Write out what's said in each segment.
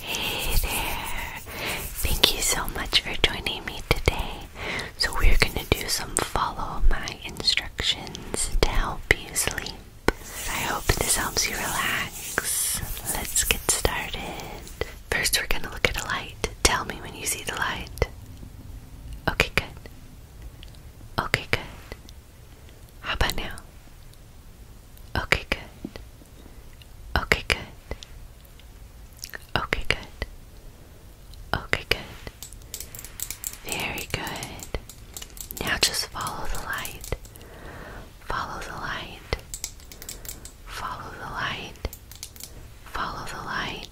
Hey there! Thank you so much for joining me today. So, we're going to do some follow my instructions to help you sleep. I hope this helps you relax. Let's get started. First, we're going to look at a light. Tell me when you see the light. Okay, good. Okay, good. How about now? Okay, good. Okay, good. Okay, good. Okay, good. Very good. Now just follow the light. Follow the light. Follow the light. Follow the light.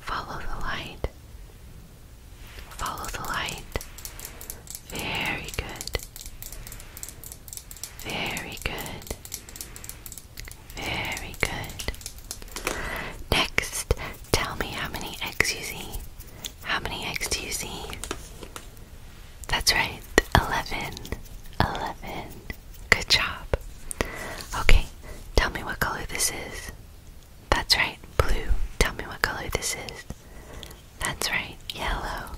Follow the light. Follow the light. Very good. Very good. Very good. Next, tell me how many eggs you see. How many eggs do you see? That's right, 11. 11. Good job. Okay, tell me what color this is. That's right, blue. Tell me what color this is. That's right, yellow.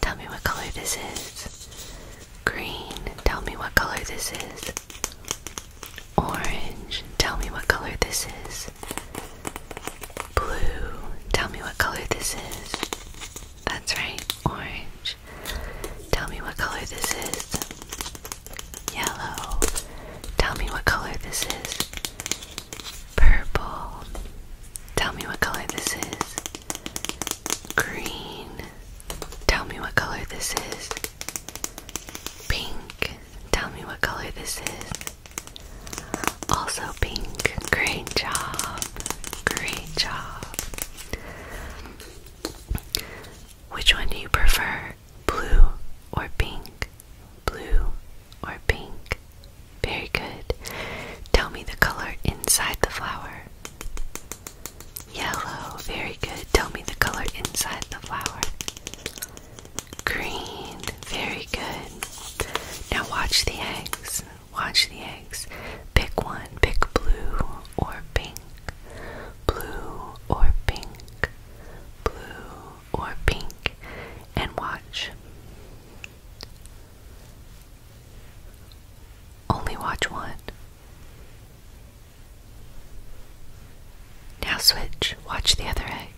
Tell me what color this is. Green, tell me what color this is. Orange, tell me what color this is. Blue, tell me what color this is. That's right, orange. Tell me what color this is. Yellow, tell me what color this is. Purple. Tell me what color this is. Green. Tell me what color this is. Pink. Tell me what color this is. Also pink. Great job. Great job. Which one do you prefer? Blue or pink? Blue or pink? Very good. Tell me the color inside the flower. Yellow. Very good. Tell me the color inside the flower. Green. Very good. Now watch the eggs. Watch the eggs. Pick one. Pick blue or pink. Blue or pink. Blue or pink. And watch. Only watch one. Now switch, watch the other egg.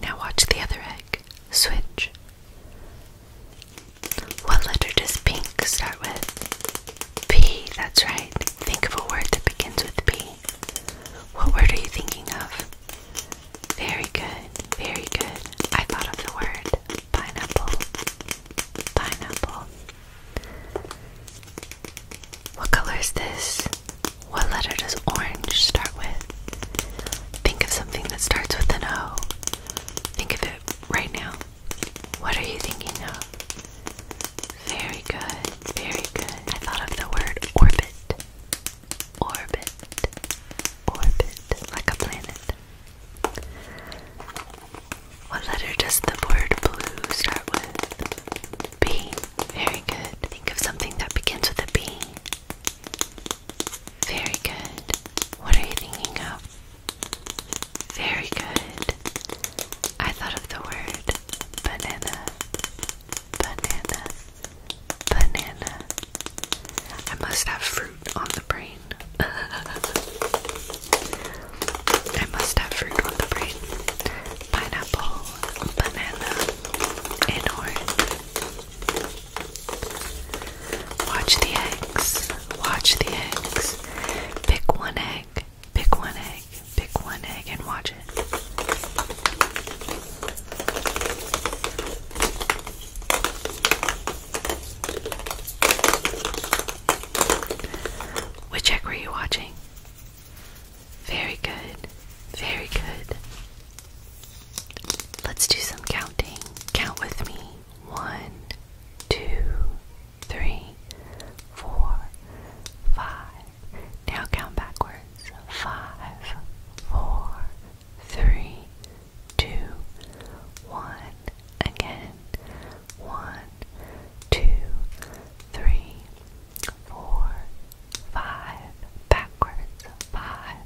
Now watch the other egg. Switch. What letter does pink start with? P, that's right. Think of a word that begins with P. What word are you thinking of? Very good, very good. I thought of the word pineapple. Pineapple. What color is this? What letter does orange start with? Think of something that starts with an O. Think of it right now. What are you thinking of? Very good, very good. I thought of the word orbit. Orbit, orbit like a planet. What letter does the word blue start with? B. Very good. Think of something that begins with a B. Very good. What are you thinking of? Very good. I thought of the word banana banana, banana. I must have fruit on the brain. I must have fruit on the brain. Pineapple, banana, and orange. Watch the eggs. Watch the eggs. Pick one egg. Pick one egg. Pick one egg and watch it. Which egg were you watching? Very good. Very good. Let's do some counting. Count with me. One, two, three, four, five, now count backwards. Five, four, three, two, one. Again. One, two, three, four, five. Backwards. Five,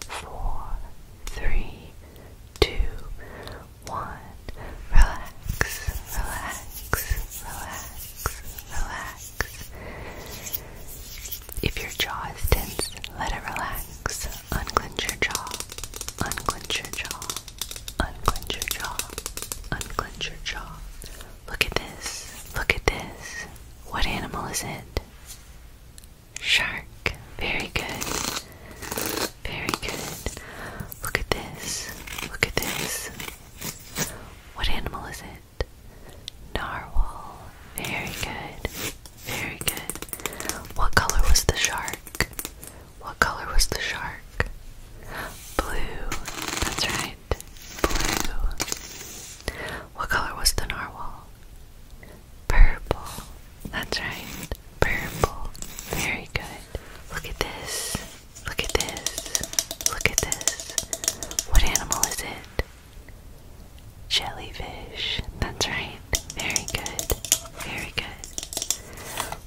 four, three, two, one. Relax, relax, relax, relax. If your jaw is tense, let it relax. Unclench your jaw. Unclench your jaw. Unclench your jaw. Unclench your jaw. Look at this. Look at this. What animal is it? Shark. Very good. Very good. Look at this. Look at this. What animal is it? Narwhal. Very good. Very good. What color was the shark? What color was the shark? Blue. That's right. Blue. What color was the narwhal? Purple. That's right. Purple. Very good. Look at this. Look at this. Look at this. What animal is it? Jellyfish. That's right. Very good. Very good.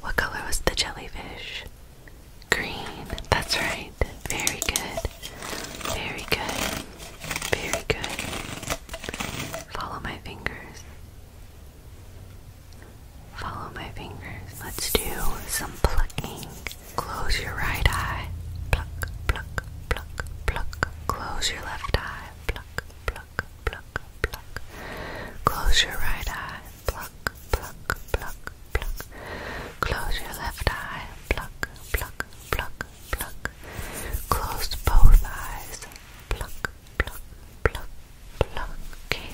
What color was the jellyfish? Green. That's right. Very good. Very good. Very good. Follow my fingers. Follow my fingers. Let's do some plucking. Close your right eye. Pluck, pluck, pluck, pluck. Close your left eye. Pluck, pluck, pluck, pluck. Close your right eye. Pluck, pluck, pluck, pluck. Close your left eye. Pluck, pluck, pluck, pluck. Close both eyes. Pluck, pluck, pluck, pluck. Okay.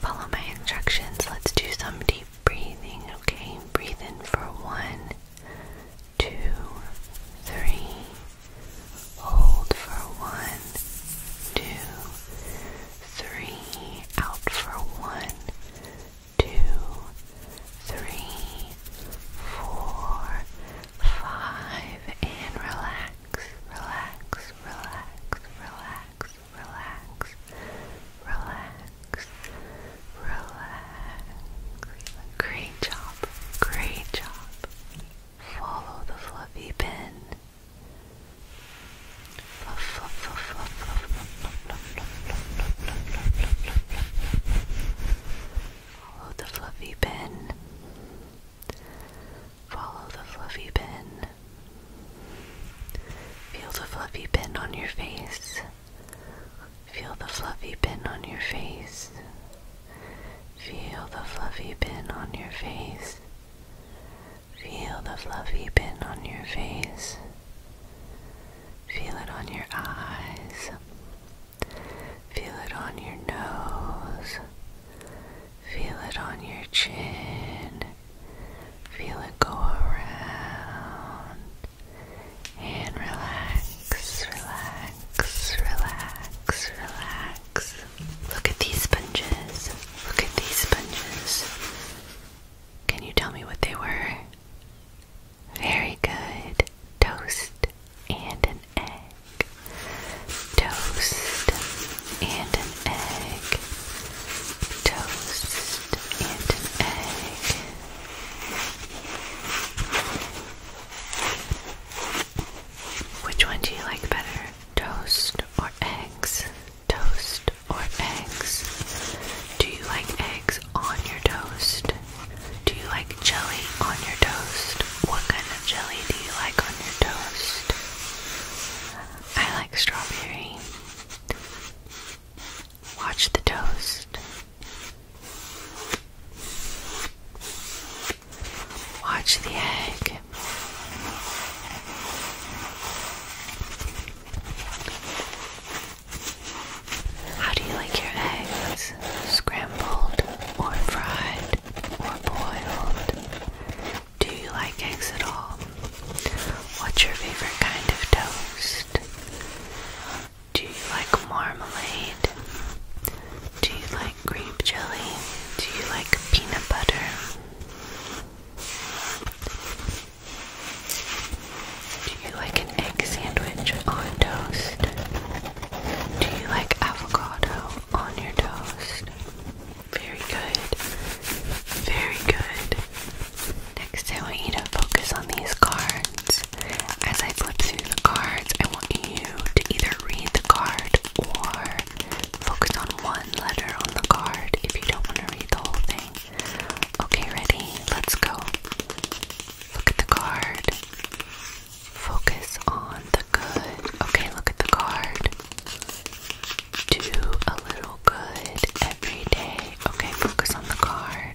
Follow my instructions. Let's do some deep breathing, okay? Breathe in for one, two, three. Hold for one, two, three. Out for one, two, three, four, five. And relax, relax, relax, relax relax, relax, relax. Great job, great job. Follow the fluffy pin. Follow the fluffy pin. Follow the fluffy pin. Feel the fluffy pin on your face. Feel the fluffy pin on your face. Feel the fluffy pin on your face. Feel the fluffy pin on your face. Feel it on your eyes. Feel it on your nose. Feel it on your chin. Feel it go around and relax, relax, relax, relax. Look at these sponges. Look at these sponges. Can you tell me what they were? Very good. Toast and an egg. Toast and an egg toast and egg. Which one do you like better? Toast or eggs? Toast or eggs? Do you like eggs on your toast? Do you like jelly on your toast? What kind of jelly do you like on your toast? I like strawberry. Watch the toast. Watch the egg. How do you like your eggs? Scrambled or fried or boiled? Do you like eggs at all? What's your favorite kind of toast? Do you like marmalade? Do you like grape jelly? Do you like peanut butter? Do you like an egg sandwich on toast? Do you like avocado on your toast? Very good. Very good. Next, I want you to focus on these cards. As I flip through the cards, I want you to either read the card or focus on one letter on the card if you don't want to read the whole thing. Okay, ready? Let's go. Look at the card. Focus on the good. Okay, look at the card do a little good every day. Okay, focus on the card.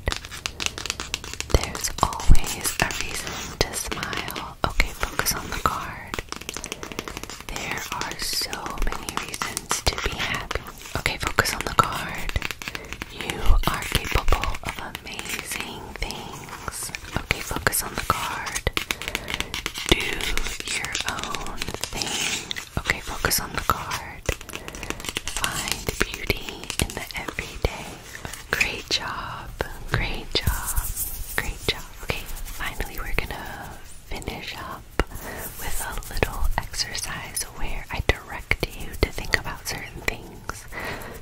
There's always a reason to smile. Okay, focus on the card. There are so many reasons to be happy. Okay, focus on the card. You are capable of amazing things. Okay, focus on the card. Do your own thing. Okay, focus on the card. Find beauty in the everyday. Great job, great job, great job. Okay, finally, we're gonna finish up with a little exercise where I direct you to think about certain things.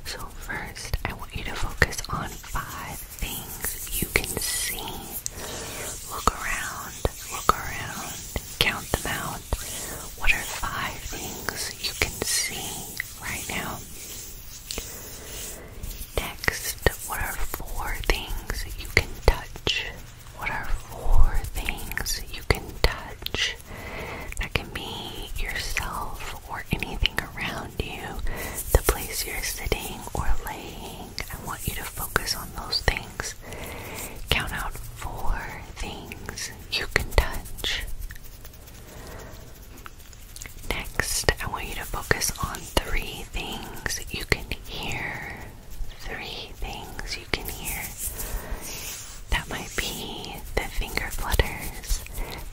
So, first, I want you to focus on five things you can see. Look around look around, count them out. What are five things you can see right now? Next, what are four things you can touch? What are four things you can touch? That can be yourself or anything around you, the place you're sitting or laying. I want you to focus on those things. Count out four things you can touch. Next, I want you to focus on three things you can hear. Three things you can hear. That might be the finger flutters.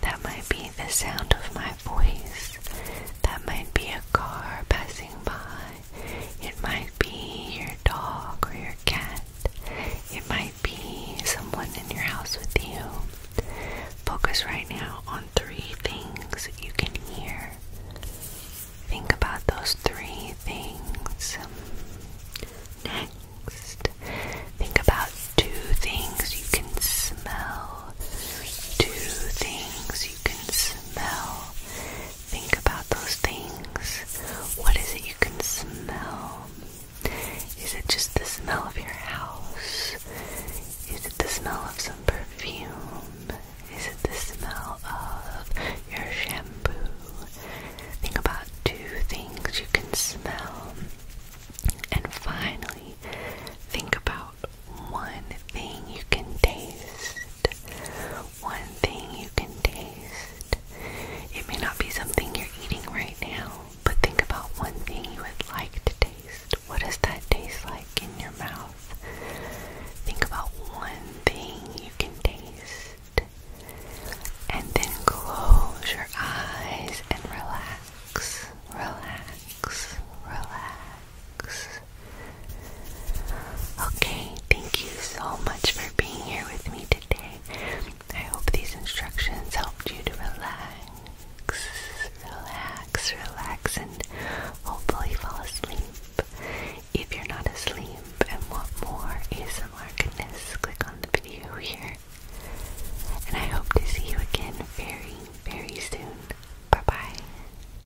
That might be the sound of my voice. That might be a car passing by. It might be your dog or your cat. It might be someone in your house with you. Focus right now on three things you can hear. Think about those three things. Next, think about two things you can smell. Two things you can smell. Think about those things. What is it you can smell? Is it just the smell of your house? Is it the smell of some perfume? Is it the smell of your shampoo? Think about two things you can smell. And finally, think about one thing you can taste one thing you can taste. It may not be something you're eating right now, but think about one thing you would like to taste. What does that taste like in your mouth? Think about one thing you can taste. And then close your eyes and relax. Relax. Relax. Okay, thank you so much for being here with me today. I hope these instructions helped you to relax, relax, relax, and hopefully fall asleep. If you're not asleep and want more ASMR goodness, click on the video here. And I hope to see you again very, very soon. Bye bye.